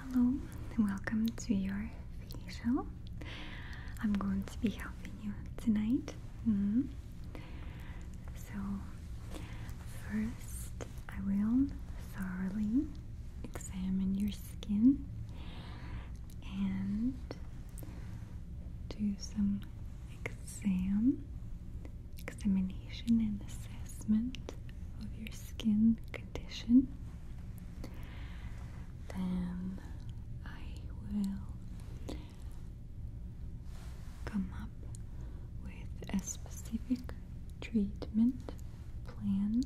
Hello and welcome to your facial. I'm going to be helping you tonight. Mm So, first, I will thoroughly examine your skin and do some exam examination and assessment of your skin condition. Then I will come up with a specific treatment plan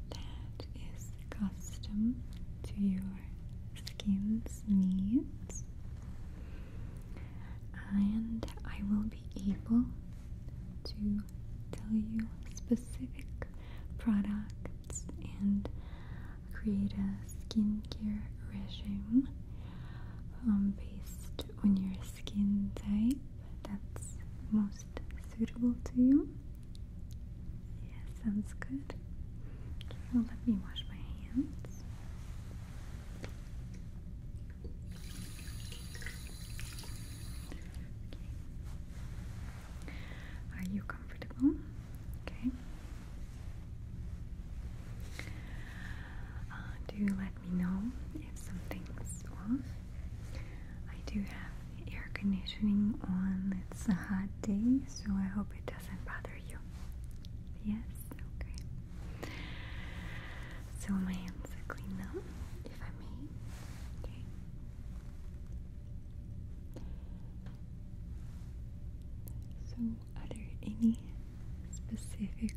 that is custom to your skin's needs and I will be able to tell you specific products and create a skincare regime um, based on your skin type that's most suitable to you. Yeah, sounds good. well, let me wash my hands. Are you comfortable? Okay. Uh, do let me know if something's off. I do have air conditioning on. It's a hot day, so I hope it doesn't bother you. Yes, okay. So my hands are clean now, if I may. Okay. So are there any specific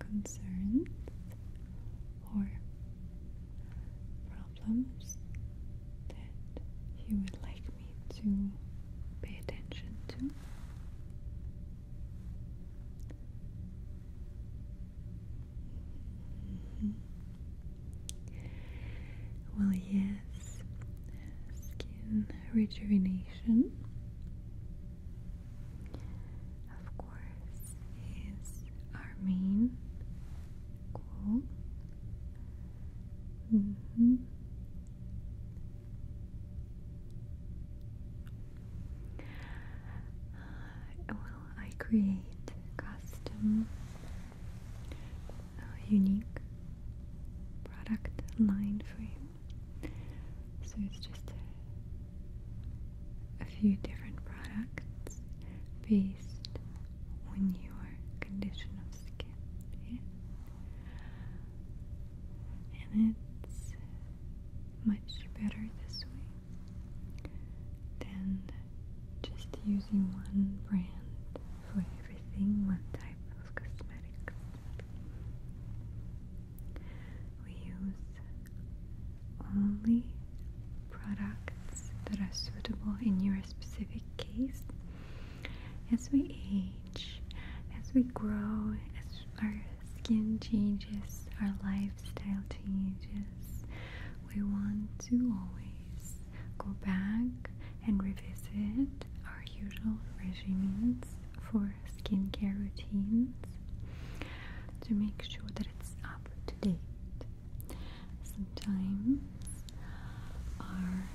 concerns or problems that you would like me to pay attention to? Mm-hmm. Well, yes, skin rejuvenation, of course, is our main goal. Mm-hmm. Uh, well, I create custom, uh, unique product line for you. So it's just a, few different products based on your condition of skin. And it's much better this way than just using one brand for everything, one type of cosmetics. We use only products that are suitable in your specific case. As we age, as we grow, as our skin changes, our lifestyle changes, we want to always go back and revisit our usual regimens for skincare routines to make sure that it's up to date. Sometimes our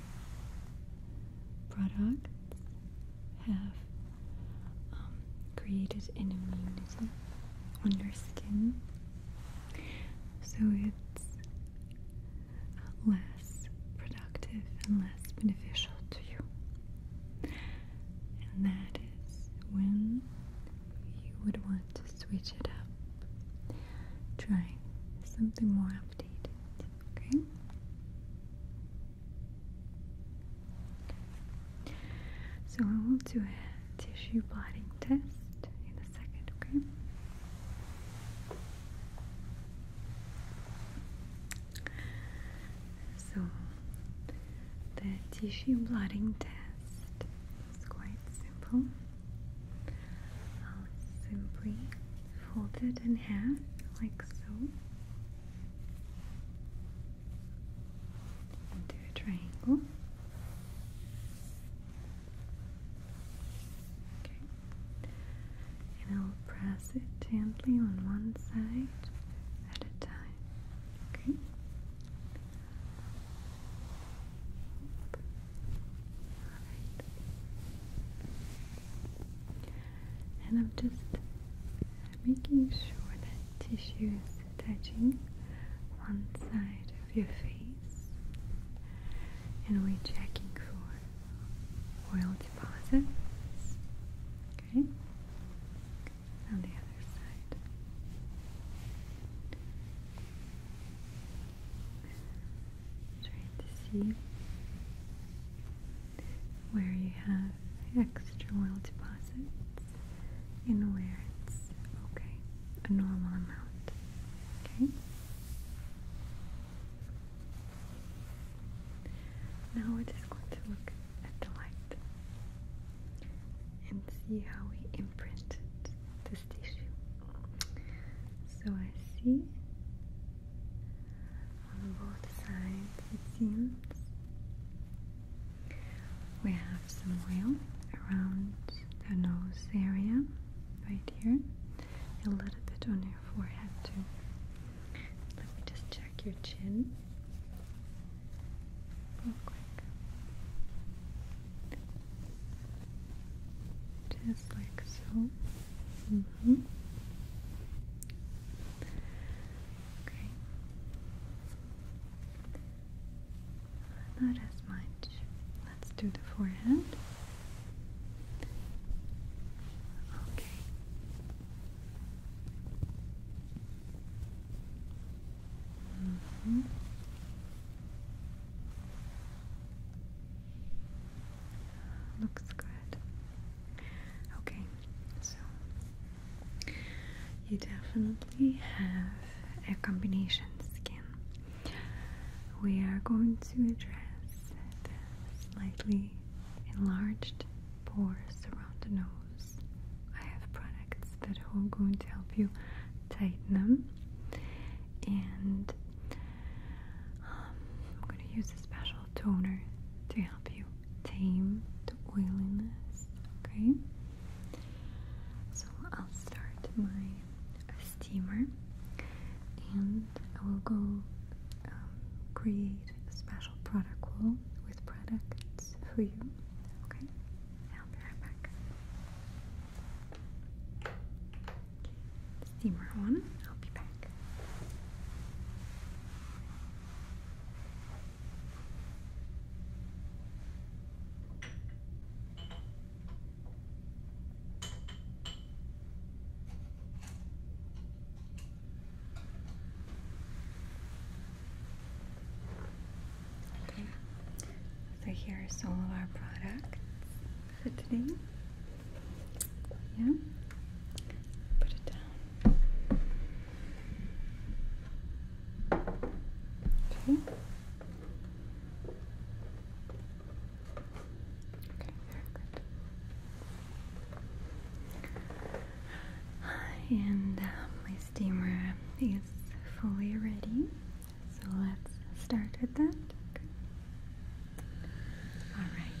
products have um, created an immunity on your skin so it's less productive and less beneficial to you. And that is when you would want to switch it up, try something more updated, okay? So I will do a tissue blotting test in a second, okay? So the tissue blotting test is quite simple. I'll simply fold it in half like so and do a triangle. Okay. And I'll press it gently on one side at a time. Okay. And I'm just making sure that tissue is touching one side of your face and we're checking for oil deposits okay on the other side trying to see where you have extra oil deposits in where it's okay, a normal amount. Okay. Now we're just going to look at the light and see how we imprinted this tissue. So I see on both sides, it seems. We have some oil around the nose area, right here, a little bit on your forehead, too. Let me just check your chin real quick. Just like so. Mm-hmm. Okay. Not as much. Let's do the forehead. Okay. Mm-hmm. Looks good. Okay, so you definitely have a combination skin. We are going to address slightly enlarged pores around the nose. I have products that are going to help you tighten them, and um, I'm going to use a special toner to help you tame the oiliness, okay? So I'll start my steamer and I will go um, create a special product wall with products for you, okay? I'll be right back. Steamer on, I'll be back so here is all of our products for today. Yeah, put it Okay. And um, my steamer is fully ready, so let's start with that. All right.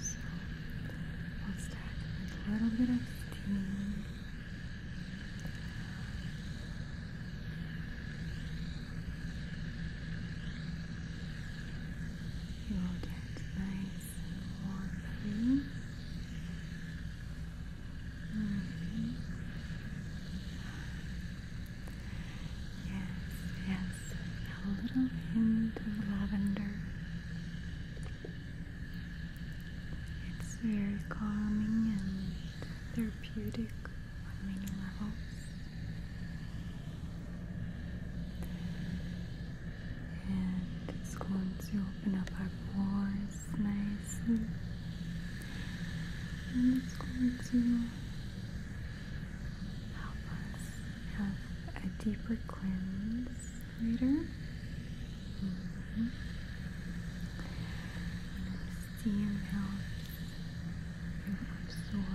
So, what's that? A little bit of steam. You will get nice and warm mm -hmm. Yes, yes, a little hint of lavender. It's very calming and therapeutic on many levels. And it's going to open up our pores nicely. And it's going to help us have a deeper cleanse later. Mm you absorb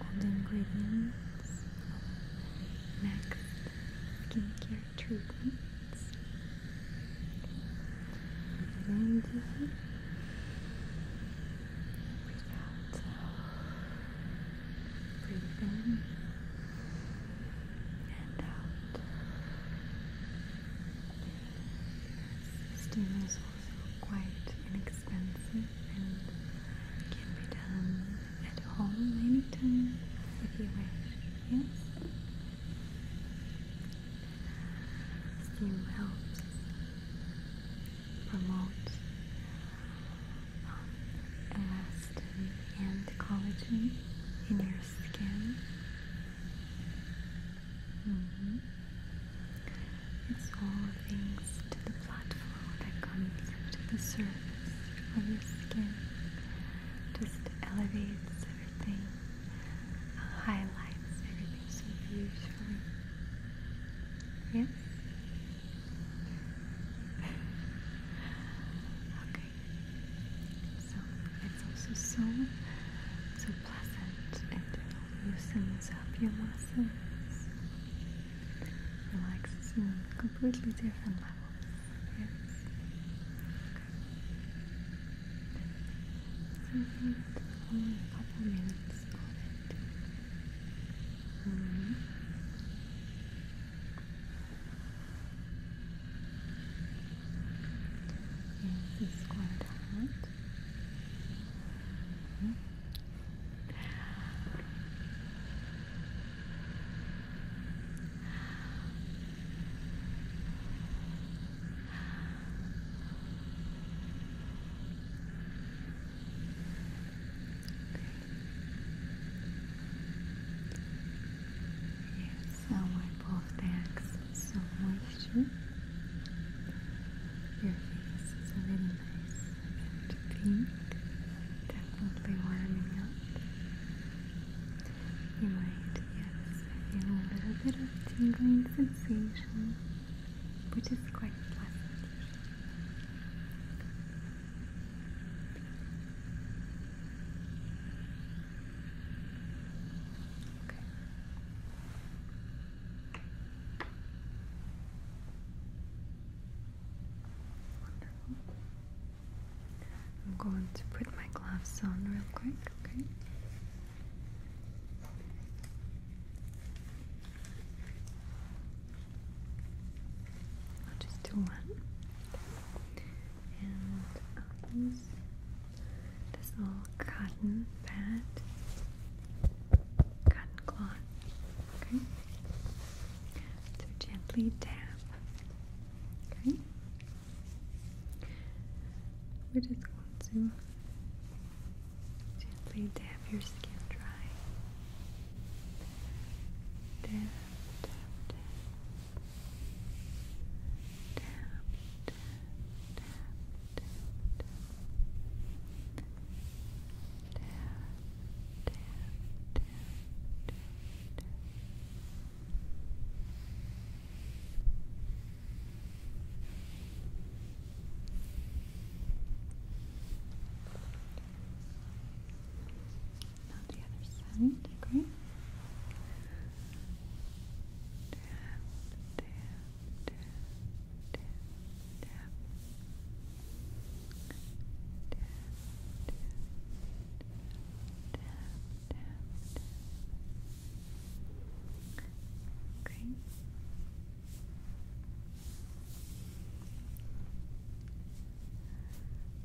all the ingredients of next skincare treatments. Breathe out. Breathe in and out. Steam is also quite inexpensive and can be done at home anytime if you wish. Steam helps promotes um, and collagen in your skin. Mm-hmm. It's all thanks to the blood flow that comes to the surface of your skin. Just elevates everything, uh, highlights everything so beautifully. Yes? Okay. So it's also so so pleasant and it loosens up your muscles, relaxes you on a completely different level. Yes. only a couple minutes Mm -hmm. Here's the -hmm. Yes, I wipe off the excess of moisture. Your face is really nice and pink, definitely warming up. You might, feel a little bit of tingling sensation, which is quite pleasant. Okay. Wonderful. I'm going to put my gloves on real quick, okay? I'll just do one. And this little cotton pad, cotton cloth. Okay. So gently tap. Okay. We're just going to Gently have your skin dry. Dab, dab, dab. Dab, dab, dab, dab, dab. Dab, dab, dab, now the other side, okay? Tap, tap, tap, tap, tap. Tap, tap, tap, tap, tap. Okay.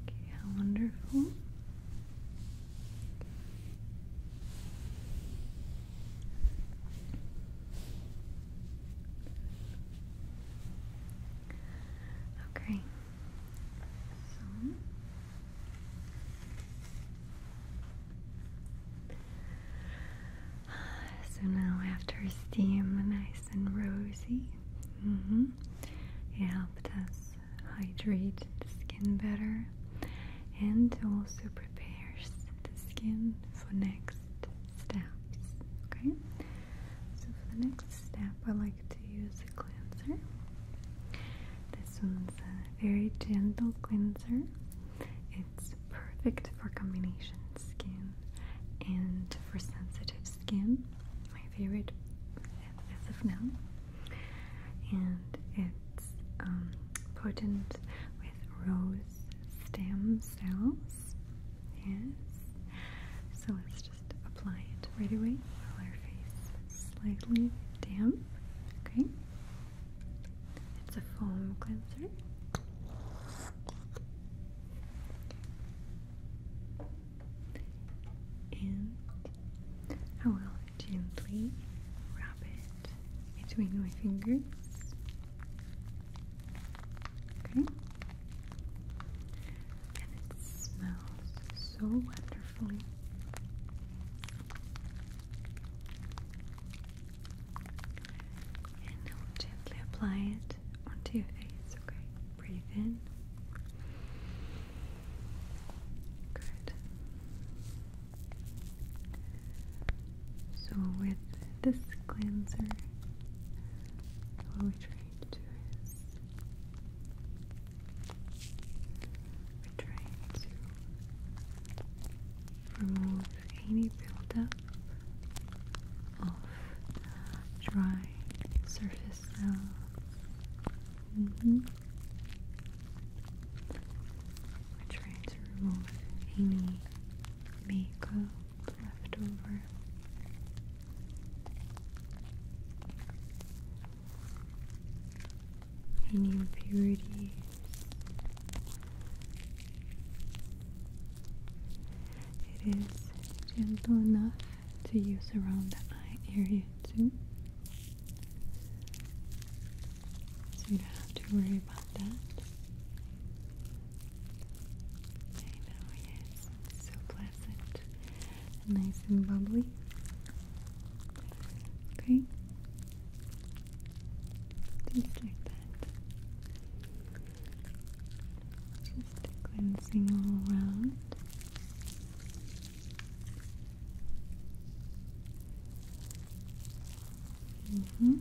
Okay, how wonderful. Okay. So now, after steam, nice and rosy, -hmm. it helped us hydrate the skin better and also prepares the skin for next steps. Okay, so for the next step, I like to use a cleanser. This one's a very gentle cleanser. It's perfect for combination skin and for sensitive skin. My favorite as of now, and it's um, potent with rose stem cells. Yes, so let's just apply it right away while our face is slightly damp. Okay, it's a foam cleanser. And I will gently wrap it between my fingers. Okay? And it smells so wonderfully. And now gently apply it onto your face, okay? Breathe in. Good. So with this cleanser, what we're trying to do is we're trying to remove any buildup of dry surface cells. Mm -hmm. We're any makeup left over. Any impurities it is gentle enough to use around the eye area too. So you don't have to worry about that. I know, yes, so pleasant nice and bubbly. Okay, just like that. Just cleansing all around. Mm-hmm.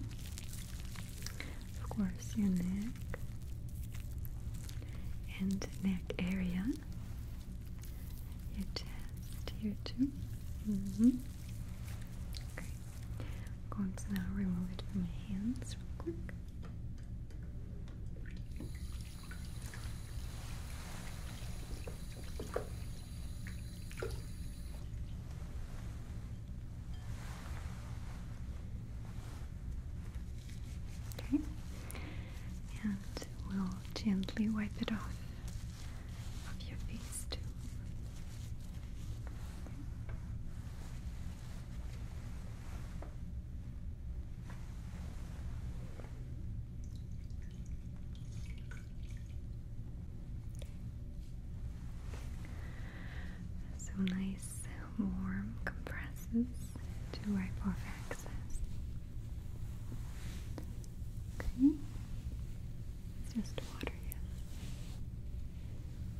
Of course, your neck and neck area, your chest here too. Mm -hmm. I'm going to now remove it from my hands real quick. Okay, and we'll gently wipe it off of your face too. So nice, warm compresses to wipe off excess. Okay. It's just water, yes.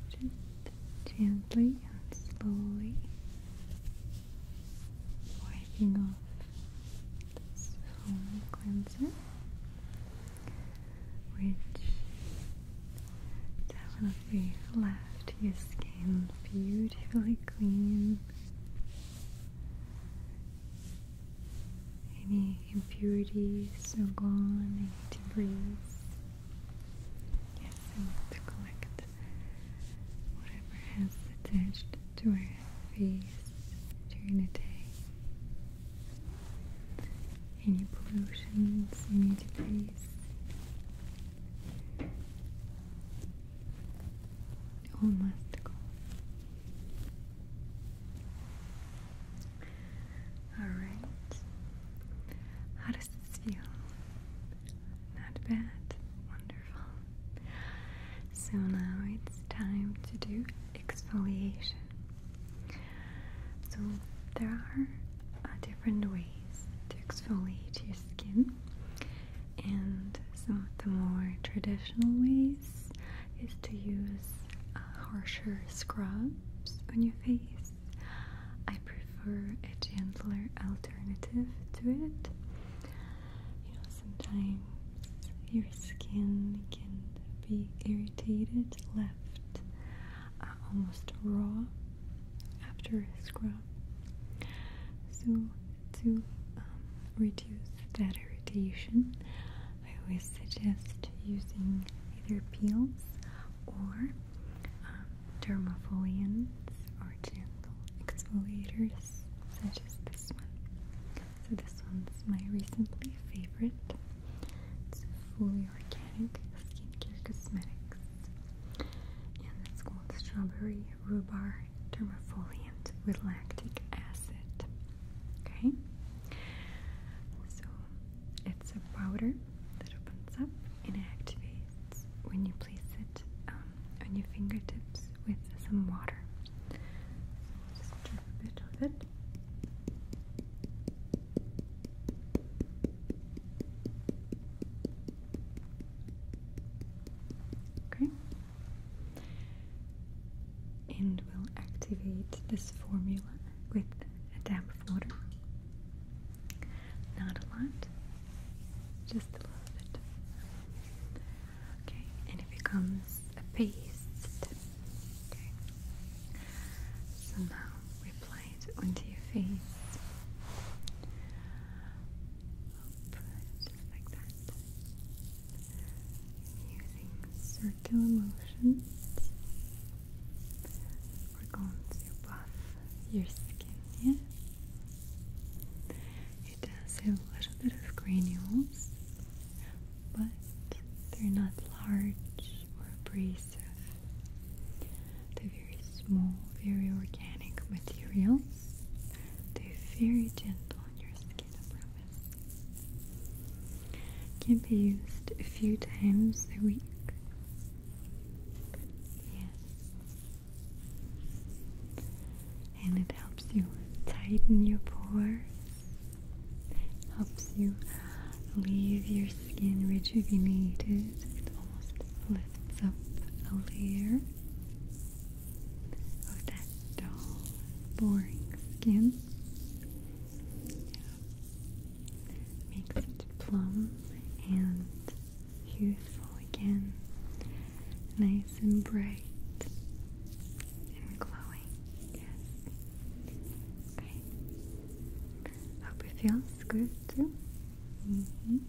Just gently and slowly wiping off this foam cleanser, which definitely left your skin beautifully clean. Any impurities are gone, any breathe. Yes, I want to collect whatever has attached to our face during the day. Any pollutions, to breathe. All must go. Alright. How does this feel? Not bad. Wonderful. So now it's time to do exfoliation. So there are uh, different ways to exfoliate your skin, and some of the more traditional ways is to use a harsher scrub on your face. I prefer a gentler alternative to it. You know, sometimes your skin can be irritated, left uh, almost raw after a scrub. So, to um, reduce that irritation, I always suggest using either peels or um, or gentle exfoliators such as this one. So this one's my recently favorite. It's fully organic skincare cosmetics. And it's called Strawberry Rhubarb Dermafoliant with lactic acid. Okay? So it's a powder that opens up and activates when you place it um, on your fingertips with some water. just drip a bit of it. Okay and we'll activate this formula with a dab of water. Not a lot, just a little bit. Okay, and it becomes a paste. Okay. So now we apply it onto your face. Up, just like that. Using circular motions we're going to buff your skin, yeah? It does have a little bit of granules, but they're not large or abrasive. They're very small, very organic materials. They're very gentle on your skin, can be used a few times a week. Yes. And it helps you tighten your pores. Helps you leave your skin rejuvenated. It almost lifts up a layer of that dull, boring skin. Makes it plump and youthful again. Nice and bright and glowing. Yes. Okay. Hope it feels good too. Mm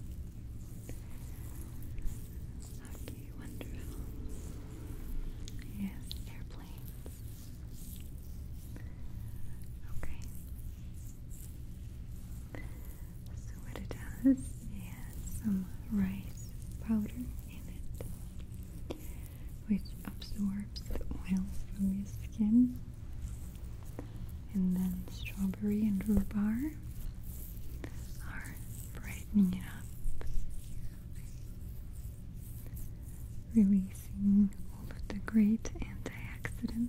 Okay, wonderful. Yes, airplane. Okay. So what it does has some rice powder in it which absorbs oil from your skin. And then strawberry and rhubarb are brightening it up releasing all of the great antioxidants.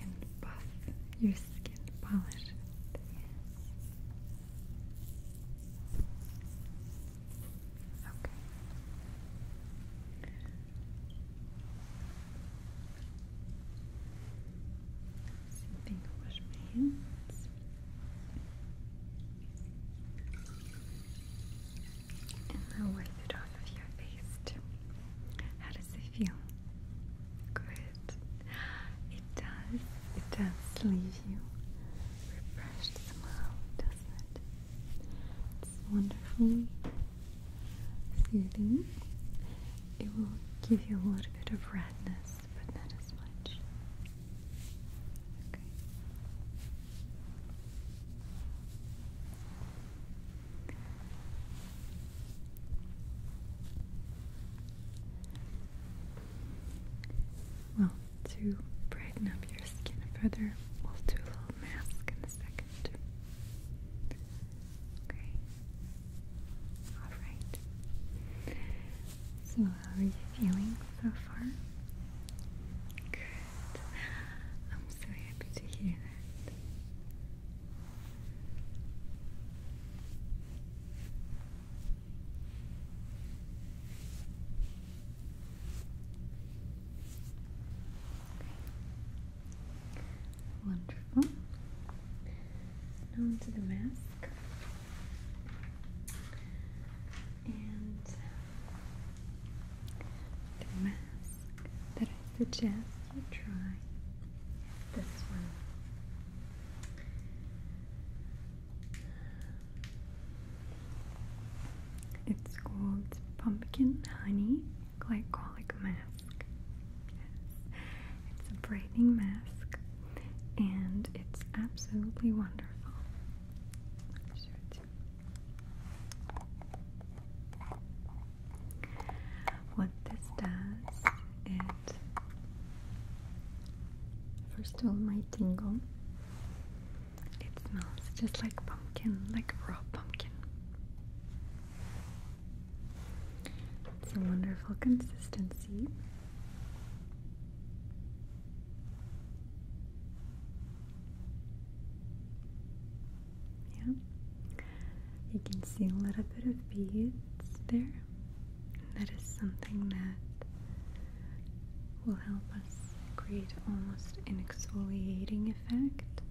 And buff your skin, polish Okay. Same I wipe it off of your face too. How does it feel? Good. It does. It does leave you refreshed somehow, doesn't It's wonderfully soothing. It will give you a little bit of redness but not as much. Okay. Well, to brighten up your skin further, we'll do a little mask in a second. Okay. Alright. So, how are you feeling so far? Good. I'm so happy to hear that. Wonderful and onto the mask. And the mask that I suggest you try is this one. It's called Pumpkin Honey Glycolic Mask. It's a brightening mask and it's absolutely wonderful. What this does, it first of all my tingle. It smells just like pumpkin, like raw pumpkin. It's a wonderful consistency. Yeah. You can see a little bit of beads there. That is something that will help us create almost an exfoliating effect,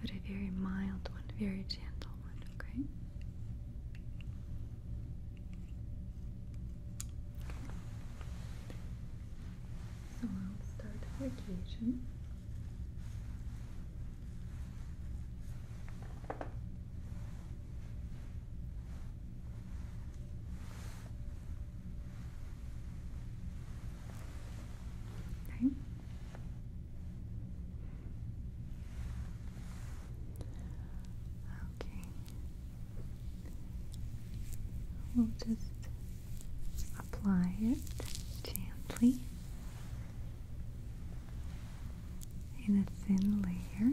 but a very mild one, very gentle one, okay? So I'll start vacation. Okay. Okay. We'll just apply it gently in a thin layer.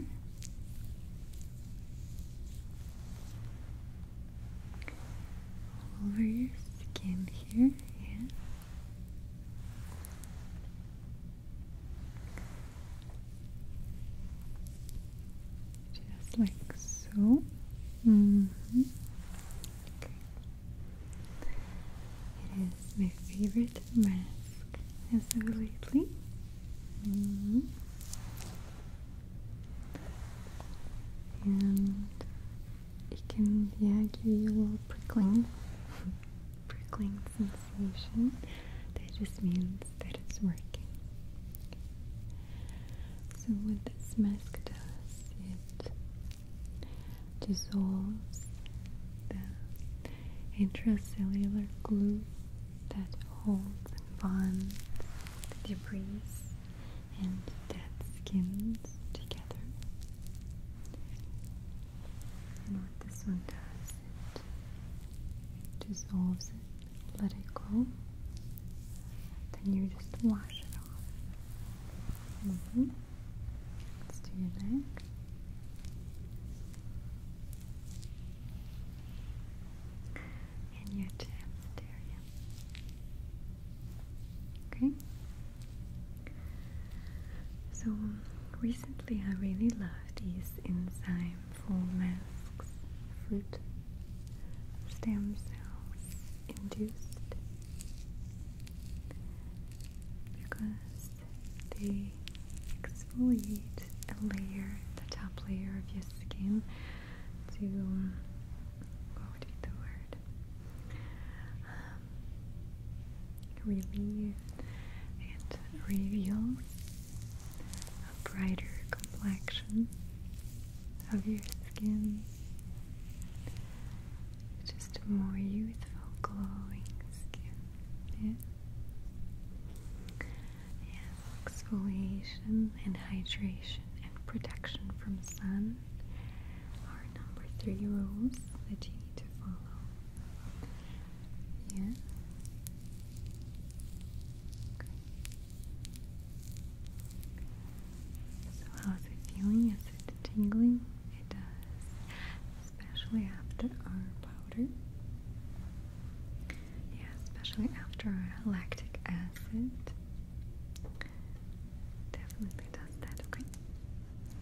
over your skin here, yeah. Just like so. Mm-hmm. It is my favorite mask as of lately. Mm-hmm. And it can yeah give you a little prickling. prickling sensation. That just means that it's working. So with this mask does, it dissolves the intracellular glue that holds and bonds the debris and dead skins together. And this one does dissolves it, let it go. Then you just wash it off. Mm-hmm. Let's do your neck. And your chest area. Okay. So recently, I really love these enzyme full masks fruit stem cells induced because they exfoliate a layer, the top layer of your skin to what would be the word? Um, relieve and reveal a brighter complexion of your skin. Just more youthful, glowing skin. Yeah. Yes, exfoliation and hydration and protection from sun are number three rules that you need to follow. Yeah. Okay. So how's it feeling? Is it tingling? It does, especially after our powder. Yeah, especially after our lactic acid. Definitely does that. Okay.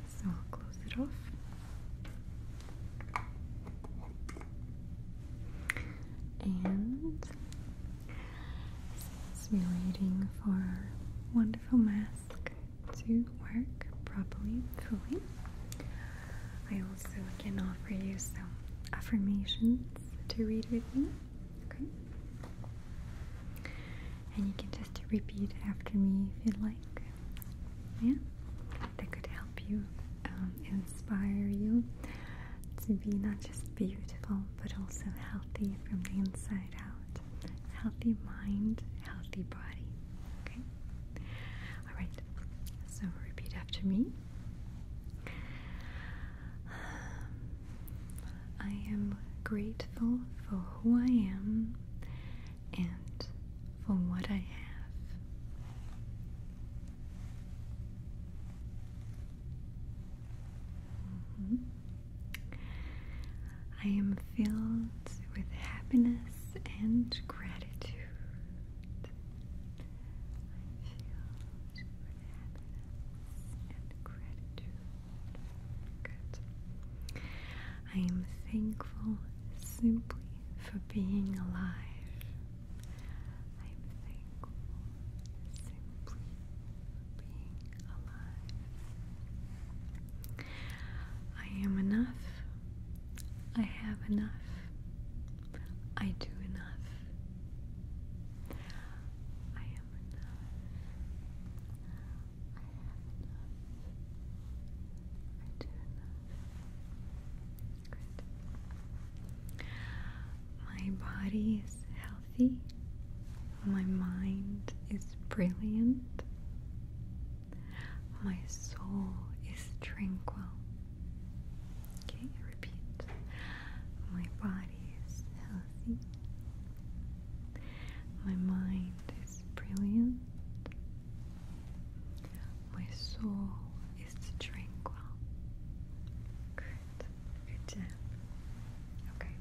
So I'll close it off. And we're waiting for our wonderful mask to work properly fully. I also can offer you some affirmations to read with me. Okay. And you can just repeat after me if you'd like. Yeah? that could help you, um, inspire you to be not just beautiful but also healthy from the inside out. Healthy mind, healthy body. Okay? Alright, so repeat after me. Um, I am grateful for who I am and for what I have. Mm-hmm, I am filled with happiness and gratitude. I am thankful simply for being alive. I am thankful simply for being alive. I am enough. I have enough. I do enough. I am enough. I have enough. I do enough. My body is healthy. My mind is brilliant. My soul is tranquil. Okay, repeat. My body is healthy. My mind is brilliant. My soul is tranquil. Good. Good job. Okay.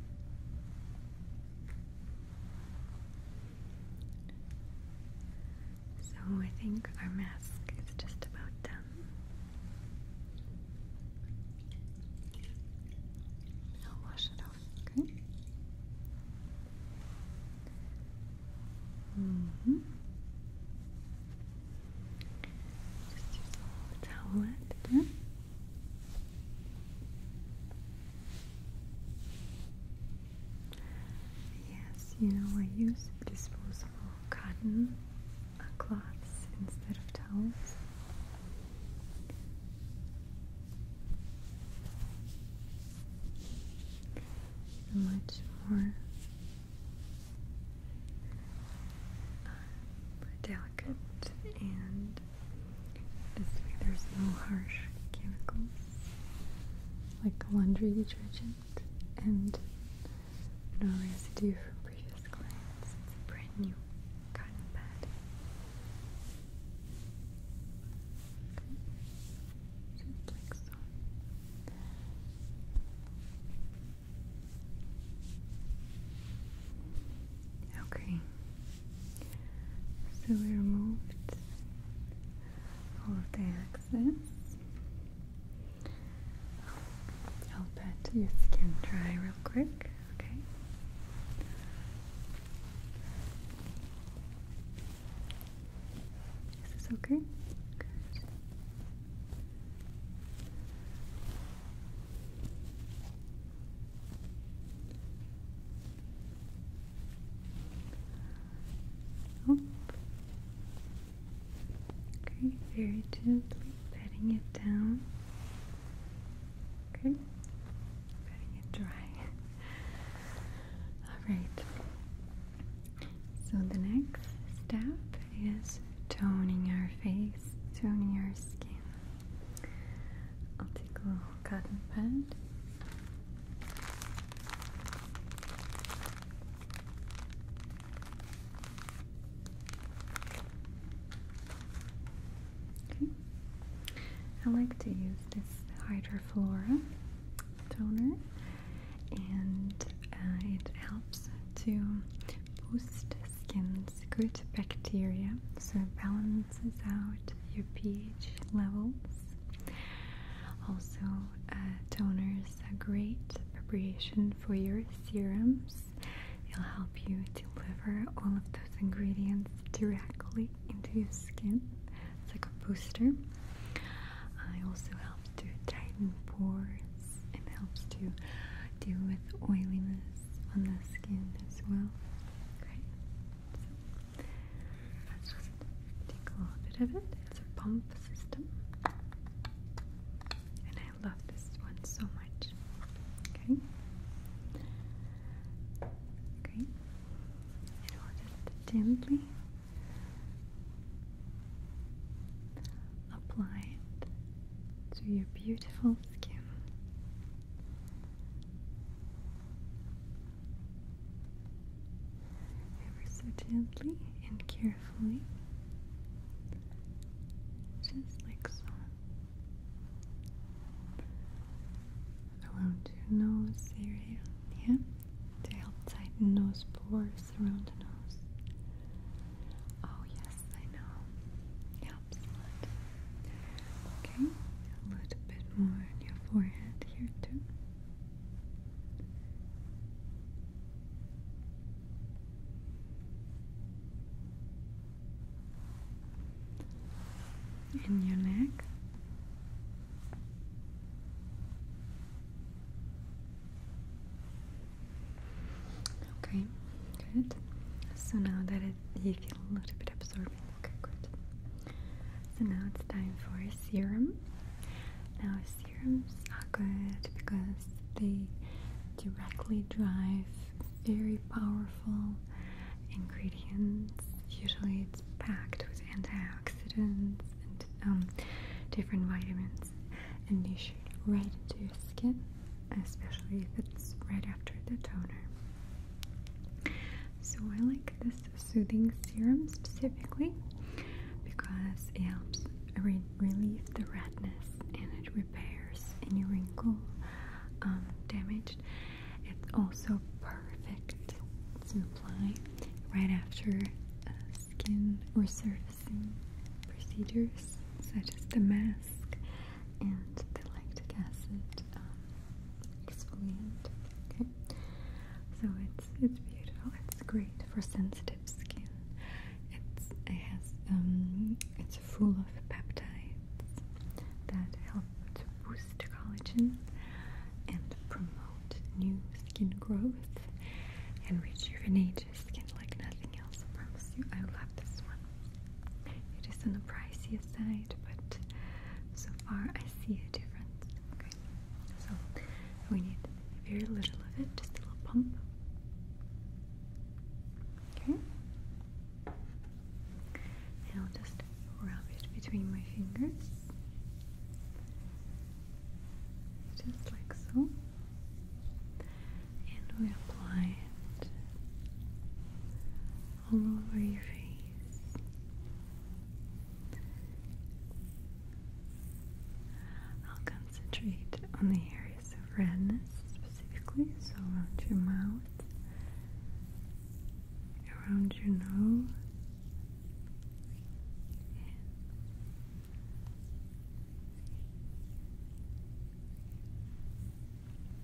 So I think our mask is just about done. I'll wash it off, okay? Just use a little towelette Yes, you know, I use disposable cotton cloths instead of towels much uh, more delicate and there's no harsh chemicals like laundry detergent and no residue from previous clients. brand new cotton pad Okay. So we removed all of the excess. I'll pat your skin dry real quick, okay? Is this okay? Good. Oh. Okay, very gently patting it down. Okay, patting it dry. Alright, so the next step is toning our face, toning our skin. I'll take a little cotton pad. I like to use this Hydroflora toner and uh, it helps to boost skin's good bacteria so it balances out your pH levels. Also, uh, toners are great preparation for your serums. It'll help you deliver all of those ingredients directly into your skin. It's like a booster. It also helps to tighten pores and helps to deal with oiliness on the skin as well. Okay, let's take a little bit of it. It's a pump system, and I love this one so much. Okay, okay and just gently apply it to your beautiful skin. Ever so gently and carefully, just like so. Around your nose area, yeah, to help tighten those pores around the nose. Oh yes, I know. Helps Okay, a little bit more on your forehead here too. In your neck, Okay, good. So now that it, you feel a little bit absorbing, okay, good. So now it's time for a serum. Now serums are good because they directly drive very powerful ingredients. Usually it's packed with antioxidants and um, different vitamins, and you shoot right into your skin, especially if it's right after the toner. So I like this soothing serum specifically because it helps relieve the redness and it repairs any wrinkle um, damaged it's also perfect to apply right after uh, skin resurfacing procedures such as the mask and the lactic acid um, exfoliant. Okay, so it's it's beautiful. It's great for sensitive skin. It's it has um it's full of peptides that help to boost collagen and promote new skin growth and rejuvenate your skin like nothing else. I promise you, I love this one. It is on the pricier side, but so far I see a difference. Okay, so we need very little of it, just a little pump. Okay, and I'll just Wrap it between my fingers, just like so, and we apply it all over your face. I'll concentrate on the areas of redness specifically, so around your mouth, around your nose,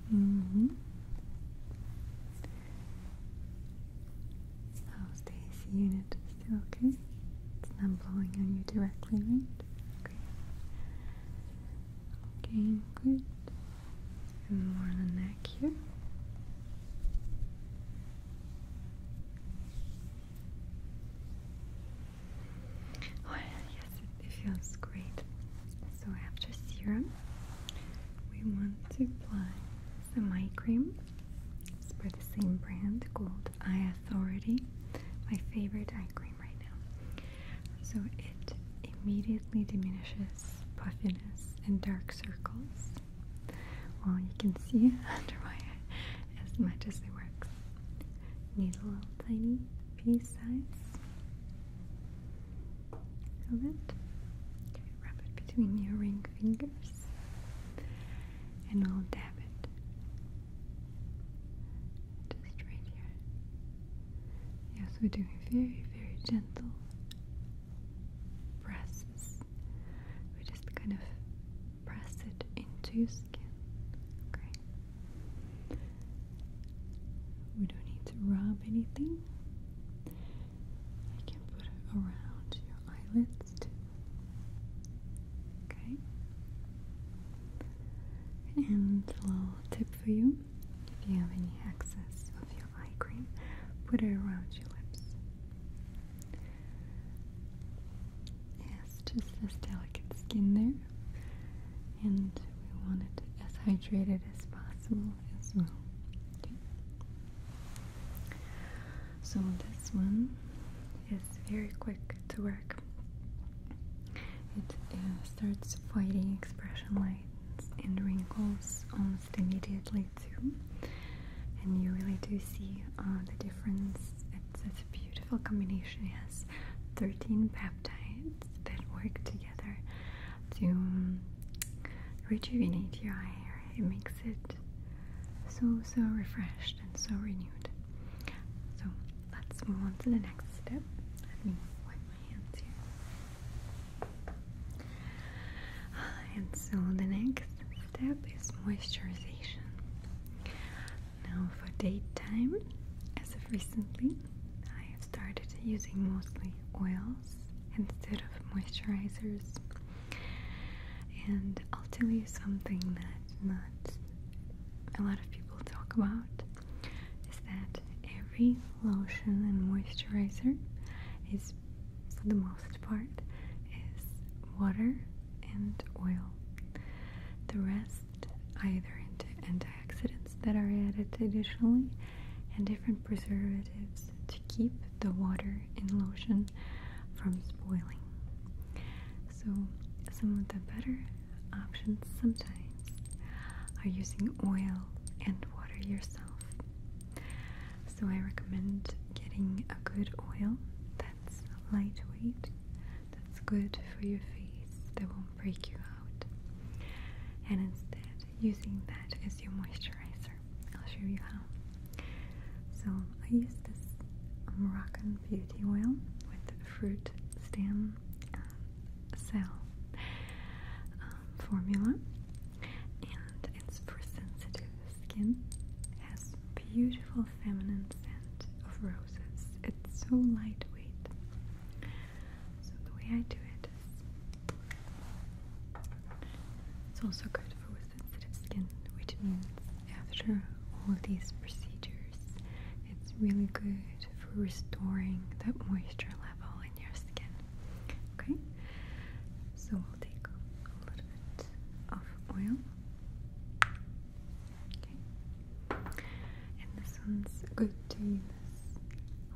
hmm How's the unit? Still okay? It's not blowing on you directly, right? Okay. Okay, good and more on the neck here. Oh yes, it feels great. So after serum, we want to apply some eye cream. It's by the same brand called Eye Authority. My favorite eye cream right now. So it immediately diminishes puffiness and dark circles. Well, you can see under my eye as much as it works. Need a little tiny piece size of it. Wrap it between your ring fingers and I'll dab it just right here. Yes, we're doing very, very gentle presses. We just kind of press it into your skin. Okay. We don't need to rub anything. I can put it around your eyelids Okay. And a little tip for you if you have any excess of your eye cream. Put it around your lips. Yes, just this delicate skin there. And we want it as hydrated as possible as well. So this one is very quick to work. It uh, starts fighting expression lines and wrinkles almost immediately and you really do see uh, the difference. It's, it's a beautiful combination. It has 13 peptides that work together to rejuvenate your hair. It makes it so, so refreshed and so renewed. So let's move on to the next step. Let me wipe my hands here. And so the next step is moisturization. Now for daytime, as of recently, I have started using mostly oils instead of moisturizers. And I'll tell you something that not a lot of people talk about is that every lotion and moisturizer is for the most part is water and oil. The rest either into antioxidants that are added additionally and different preservatives to keep the water in lotion from spoiling. So some of the better options sometimes are using oil and water yourself so I recommend getting a good oil that's lightweight, that's good for your face, that won't break you out. And instead, using that as your moisturizer. I'll show you how. So I use this Moroccan beauty oil with fruit stem uh, cell um, formula and it's for sensitive skin. has beautiful feminine scent of roses. It's so lightweight. So the way I do it is it's also good for sensitive skin, which means after all these procedures, it's really good for restoring the moisture level in your skin. Okay, so we'll take a little bit of oil. Okay, and this one's good to use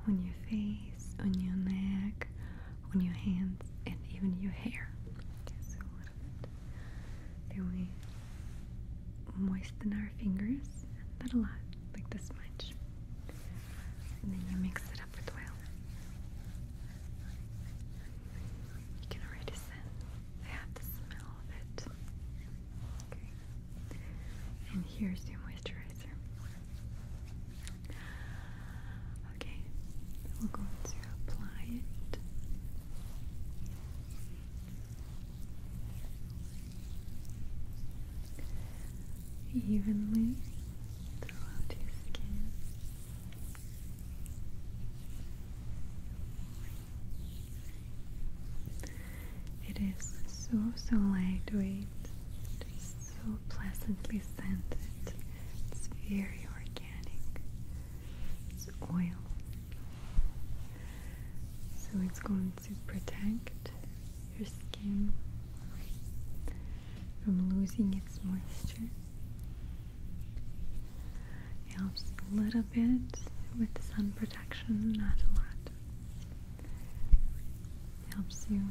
on your face, on your neck, on your hands, and even your hair. Okay, so a little bit. Then we moisten our fingers, not a lot, like this much and then you mix it up with oil. You can already sense I have the smell of it. Okay. And here's your moisturizer. Okay, we're going to apply it. Evenly it is so, so lightweight, it is so pleasantly scented, it's very organic, it's oil. So it's going to protect your skin from losing its moisture. It helps a little bit with sun protection, not a lot. It helps you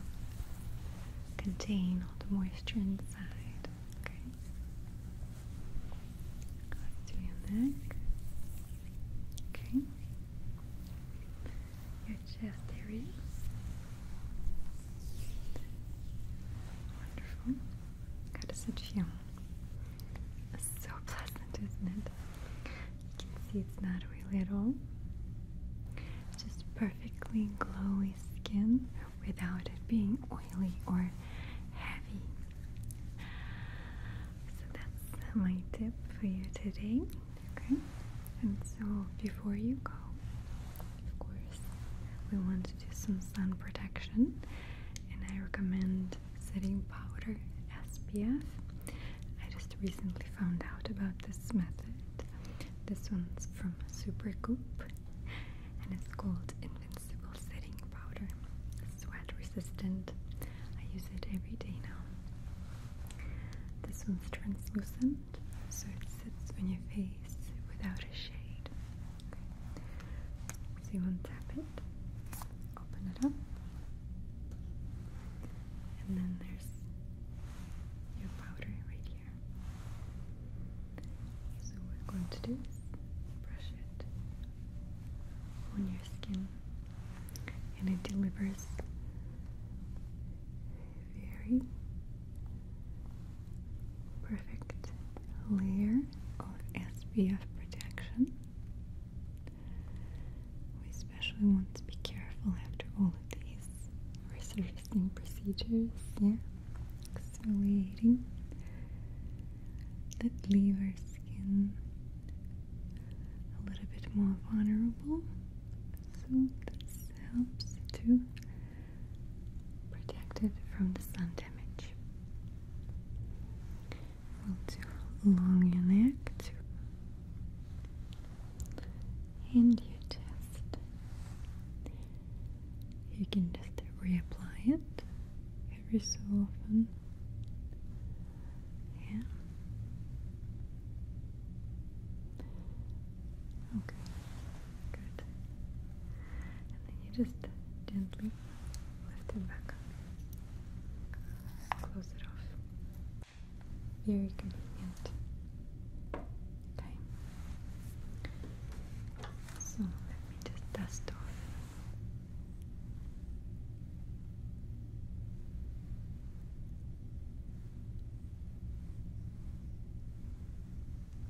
contain all the moisture inside. Okay. to your neck. Okay. Yeah, there Wonderful. How does it feel? so pleasant, isn't it? You can see it's not oily at all. Just perfectly glowy skin without it being oily or heavy. So that's my tip for you today. Okay, and so before you go, of course, we want to do some sun protection, and I recommend setting powder SPF. I just recently found out about this method. This one's from Supercoop, and it's called Invincible Setting Powder. Sweat resistant. I use it every day now. This one's translucent, so it sits on your face without a shade. So you want to tap it, open it up, and then there's your powder right here. So what we're going to do is brush it on your skin, and it delivers very perfect layer of SPF protection. We especially want to be careful after all of these resurfacing procedures, yeah, exfoliating that leave our skin a little bit more vulnerable. So helps to protect it from the sun damage. will do long your neck too. And your chest. You can just reapply it every so often. Yeah. Okay, good. And then you just gently lift it back up. Close it off. Very convenient. Okay. So let me just dust off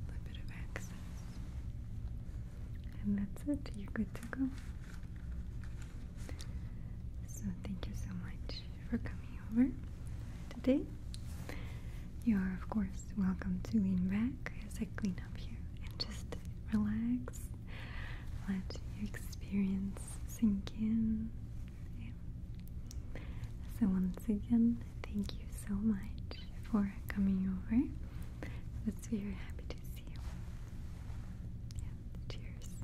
a bit of access, and that's it. You're good to go. So, thank you so much for coming over today. You are, of course, welcome to lean back as I clean up here and just relax. Let your experience sink in. So, once again, thank you so much for coming over. That's very happy to see you. And cheers.